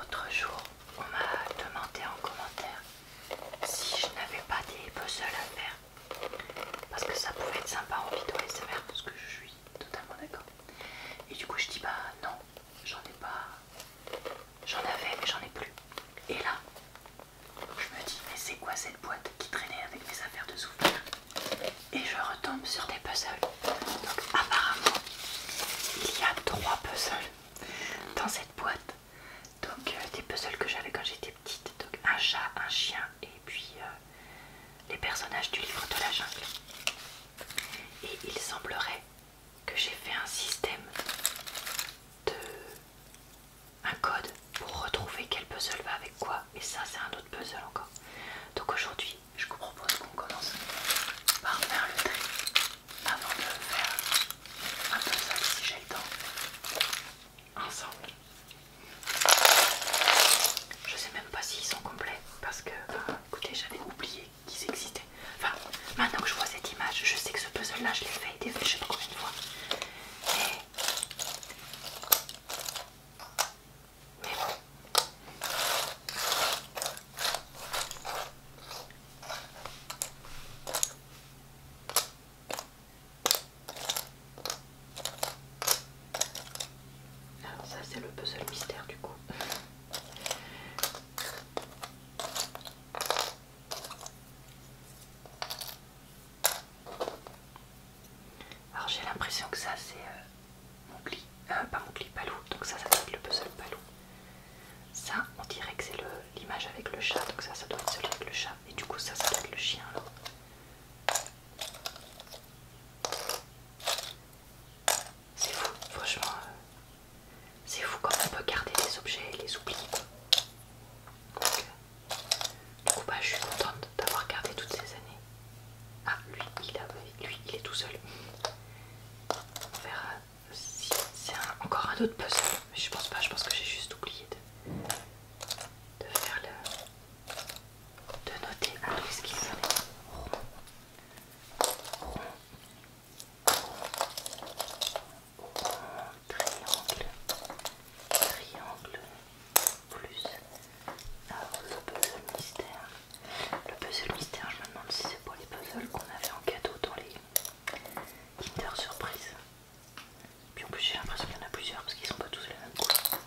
Autre jour, on m'a demandé en commentaire si je n'avais pas des puzzles à faire parce que ça pouvait être sympa en vidéo SMR parce que je suis totalement d'accord. Et du coup, je dis bah non, j'en ai pas, j'en avais mais j'en ai plus. Et là, je me dis mais c'est quoi cette boîte qui traînait avec mes affaires de souvenirs Et je retombe sur des puzzles. Donc apparemment, il y a trois puzzles dans cette boîte. Donc euh, des puzzles que j'avais quand j'étais petite. Donc un chat, un chien et puis euh, les personnages du livre de la jungle. Et il semblerait que j'ai fait un système de... un code pour retrouver quel puzzle va avec quoi. Et ça c'est un autre puzzle encore. Donc aujourd'hui je vous propose qu'on commence par faire le tri avant de faire un puzzle, si j'ai le temps ensemble. Je sais même pas s'ils sont complets parce que euh, écoutez j'avais oublié qu'ils existaient. Enfin maintenant que je vois cette image, je sais que ce puzzle là je l'ai fait des je sais pas combien de fois. Mais bon. Alors ah, ça c'est le puzzle mystère du coup. Alors j'ai l'impression que ça c'est euh, mon pli, euh, pas mon pli, palou, donc ça ça doit le puzzle palou. Ça, on dirait que c'est l'image avec le chat, donc ça, ça doit être celui avec le chat. Et du coup, ça, ça doit être le chien C'est fou, franchement. Euh, c'est fou quand on peut garder des objets les oublier. Euh, du coup, bah, je suis contente d'avoir gardé toutes ces années. Ah, lui il, a, lui, il est tout seul. On verra c'est encore un autre puzzle, mais je pense pas, je pense que j'ai juste oublié de, faire le. de noter peu ce qu'il Rond, rond, triangle, triangle, plus. Alors ah, le puzzle mystère. Le puzzle mystère, je me demande si c'est pour les puzzles qu'on avait en cadeau dans les Kinder Surprise. Puis en plus, j'ai l'impression qu'il y en a plusieurs parce qu'ils sont pas tous les mêmes couleurs.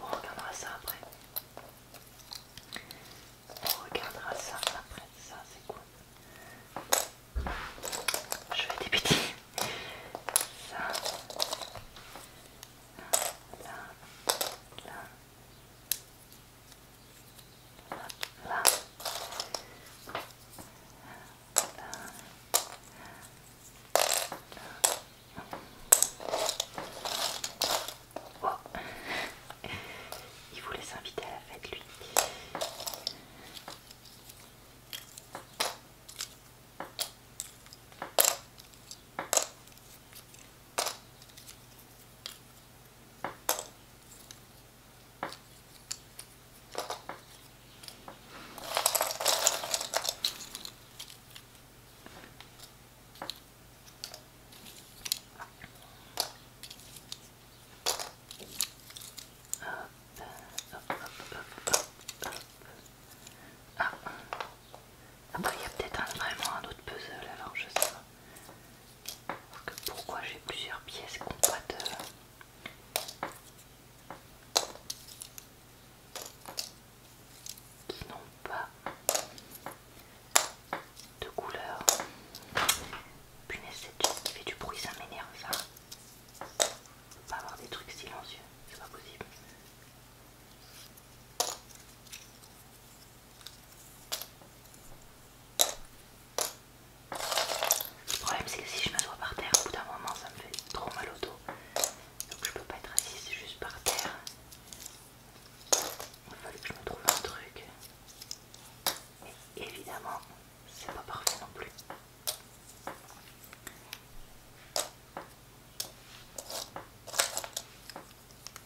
On regardera ça après. On regardera ça après. Ça, c'est quoi Je vais débuter. Ça. Là. Là. Oh. Il voulait s'inviter à la fête lui. Ah. Après il y a peut-être vraiment un autre puzzle alors je sais pas pourquoi j'ai plusieurs pièces qui n'ont pas de couleur. Punaise, cette juste qui fait du bruit, ça m'énerve ça. pas avoir des trucs silencieux, c'est pas possible. Le problème c'est que si je m'assois par terre, au bout d'un moment ça me fait trop mal au dos. Donc je peux pas être assise juste par terre. Il fallait que je me trouve un truc. Mais évidemment, c'est pas parfait non plus.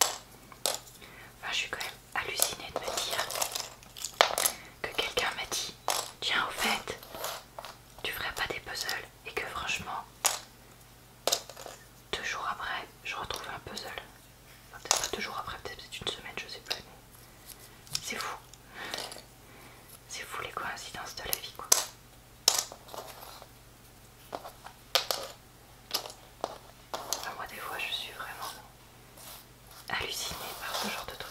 Enfin, je suis quand même hallucinée de me dire que quelqu'un m'a dit Tiens, au fait, tu ferais pas des puzzles et que franchement, deux jours après, je retrouve un puzzle. Enfin, peut-être pas deux jours après, peut-être une semaine, je sais pas C'est fou. C'est fou les coïncidences de la vie, quoi. Ah, moi des fois je suis vraiment hallucinée par ce genre de trucs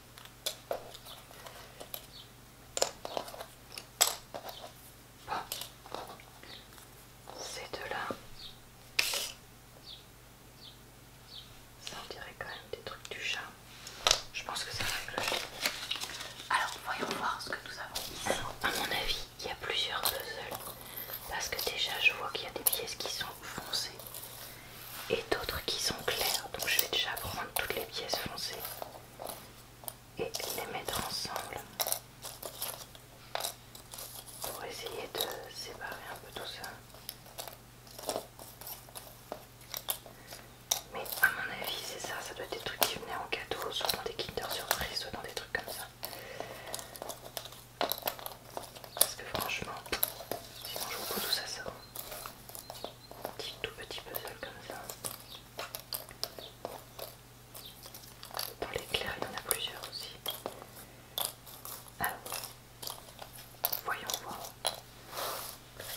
Ces deux-là, ça on dirait quand même des trucs du chat. Je pense que ça va Alors voyons voir ce que nous avons. ici à mon avis, il y a plusieurs puzzles parce que déjà je vois qu'il y a des pièces qui sont foncées et d'autres qui sont clairs. Donc je vais déjà prendre toutes les pièces foncées et les mettre ensemble pour essayer de séparer un peu tout ça. Mais à mon avis c'est ça, ça doit être des trucs qui venaient en cadeau, soit dans des Kinder Surprise, soit dans des trucs comme ça. Parce que franchement, sinon je vous tout ça, ça petit tout petit puzzle comme ça. Dans l'éclair, il y en a plusieurs aussi. Alors, voyons voir.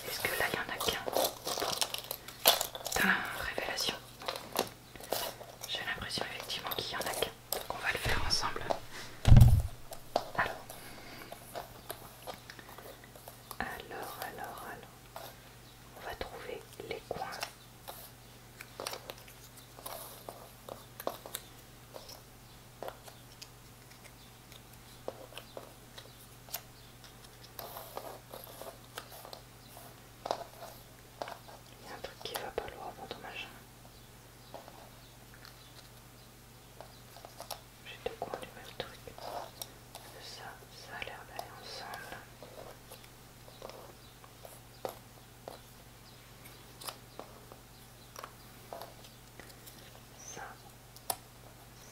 Est-ce que là, il y en a qu'un la révélation. J'ai l'impression effectivement qu'il y en a qu'un. on va le faire ensemble. Alors, alors, alors, alors, on va trouver les coins. Il y a un truc qui va pas loin dans ton machin j'ai deux coins du même truc. Ça, ça a l'air d'aller ensemble. Ça,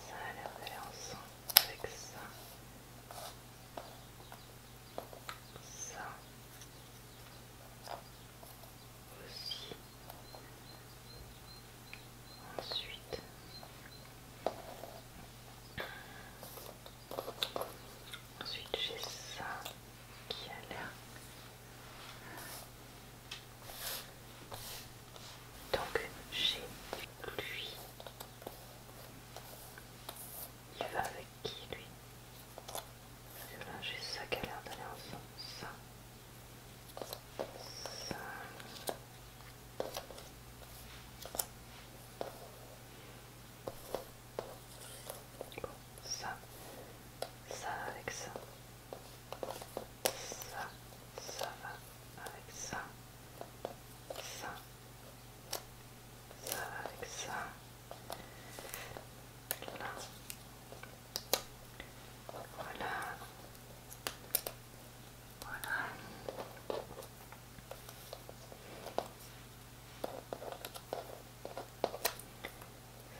ça a l'air d'aller ensemble avec ça. Ça, aussi. Ensuite, ensuite j'ai ça qui a l'air donc j'ai lui il va avec qui lui parce que là j'ai ça qui a l'air d'aller ensemble ça ça, ça avec ça, ça, ça va avec ça, ça, ça va avec ça, là, Voilà. Voilà.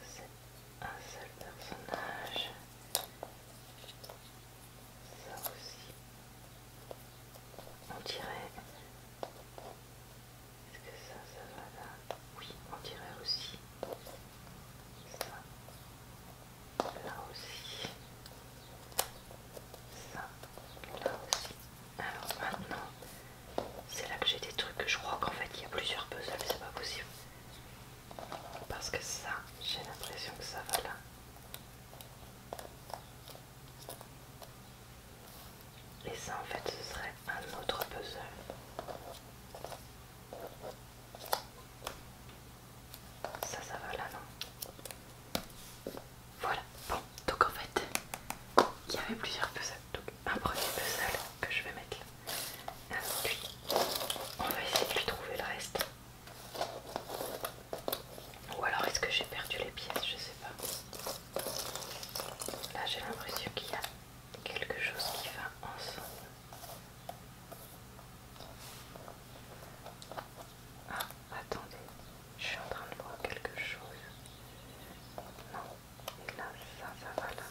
C'est un seul personnage. Ça aussi. On dirait... Est-ce que ça, ça va là Oui, on dirait aussi ça là aussi, ça, là aussi. Alors maintenant, c'est là que j'ai des trucs. que Je crois qu'en fait il y a plusieurs puzzles, c'est pas possible. Parce que ça, j'ai l'impression que ça va là. Et ça en fait ce serait un autre puzzle. Ça, ça va là, non Voilà, bon, donc en fait, il y avait plusieurs puzzles. Donc, un premier puzzle que je vais mettre là. Et on va essayer de lui trouver le reste. Ou alors, est-ce que j'ai perdu les pièces Je sais pas. Là, j'ai l'impression qu'il y a quelque chose qui va ensemble. Ah, attendez, je suis en train de voir quelque chose. Non, et là, ça, ça va là.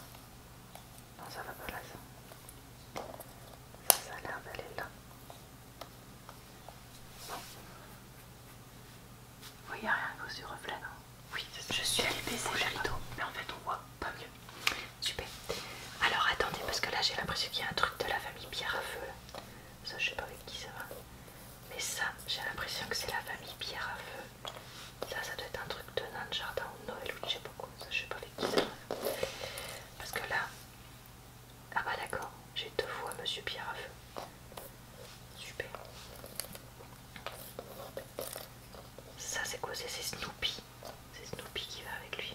Non, ça va pas là, ça. Ça, a l'air d'aller là. Non. Oui, il rien que cause reflet, non Oui, je suis allée baisser le mais en fait, on voit pas mieux. Super. Alors attendez, parce que là j'ai l'impression qu'il y a un truc de la famille Pierre à feu. Ça, je sais pas avec qui ça va. Mais ça, j'ai l'impression que c'est la famille Pierre à feu. Ça, ça doit être un truc de nain de jardin ou Noël ou je sais pas Ça, je sais pas avec qui ça va. Parce que là. Ah bah d'accord, j'ai deux fois Monsieur Pierre à feu. Super. Ça c'est quoi C'est Snoopy. C'est Snoopy qui va avec lui.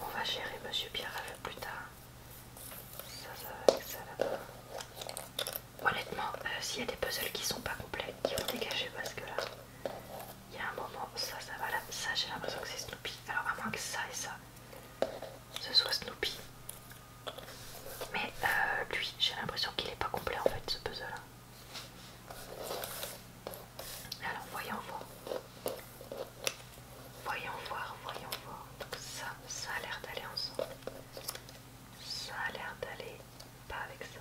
On va gérer Monsieur Pierre plus tard. Ça, ça va avec ça là-bas. Honnêtement, euh, s'il y a des puzzles qui sont pas complets, il faut dégager parce que là, il y a un moment, ça, ça va là. Ça, j'ai l'impression que c'est Snoopy. Alors, à moins que ça et ça, ce soit Snoopy. Mais euh, lui, j'ai l'impression qu'il n'est pas complet en fait, ce puzzle. là alors voyons voir. Voyons voir, voyons voir. Donc ça, ça a l'air d'aller ensemble. Ça a l'air d'aller pas avec ça.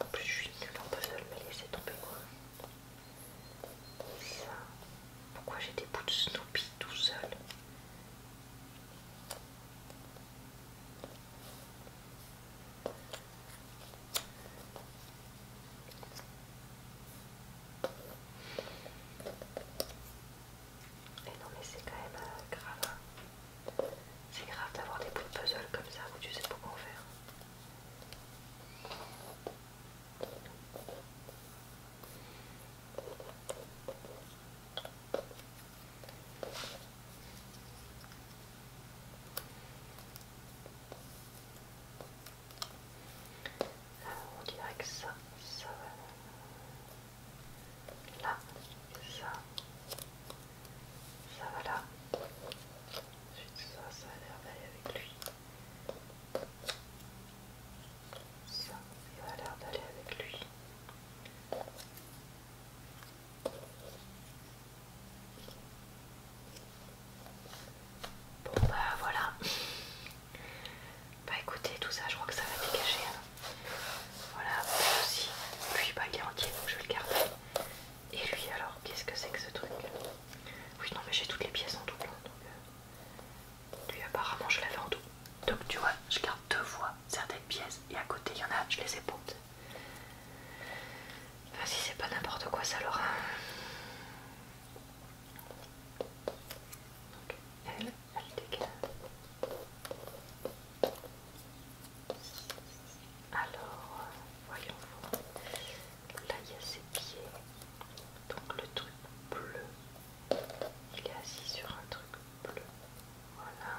En plus je suis nulle en puzzle mais laissez tomber quoi. Pourquoi j'ai des bouts de Snoopy tout seul et non mais c'est quand même euh, grave. Hein. C'est grave d'avoir des bouts de puzzle comme ça où tu sais pas faire on dirait que ça, ça va là, ça, ça va là. Ensuite, ça, ça a l'air d'aller avec lui. Ça, ça a l'air d'aller avec lui. Bon bah voilà. Bah écoutez, tout ça je crois que ça va dégager. Hein. Voilà, aussi. Puis bah il est entier donc je vais le garder. Et lui alors, qu'est-ce que c'est que ce truc Oui non mais j'ai toutes les pièces en tout Donc, euh, Lui apparemment je l'avais en tout Donc tu vois, je garde deux fois certaines pièces et à côté il y en a, je les ai posées. Vas-y, c'est pas n'importe quoi ça, Laura. Donc, elle, elle dégage. Alors, voyons voir. Là, il y a ses pieds. Donc, le truc bleu. Il est assis sur un truc bleu. Voilà.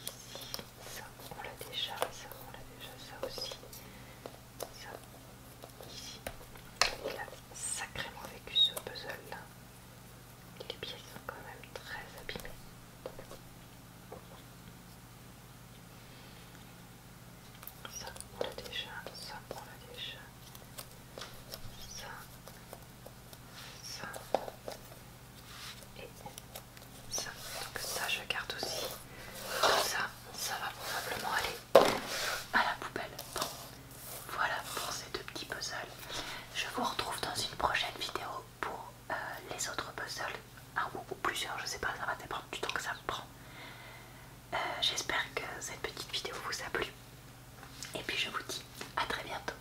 Ici, ça, on l'a déjà, ça, on l'a déjà, ça aussi. Ça, ici. Il a sacrément vécu ce puzzle-là. Les pièces sont quand même très abîmées. Ça, on l'a déjà, ça, on l'a déjà. Ça, ça et ça. Donc ça je garde aussi. ça, ça va probablement aller à la poubelle. voilà pour ces deux petits puzzles. Je vous retrouve dans une prochaine vidéo pour euh, les autres puzzles. Un ou, plusieurs, je sais pas, ça va dépendre du temps que ça me prend. Euh, j'espère que cette petite vidéo vous a plu. Et puis je vous dis à très bientôt.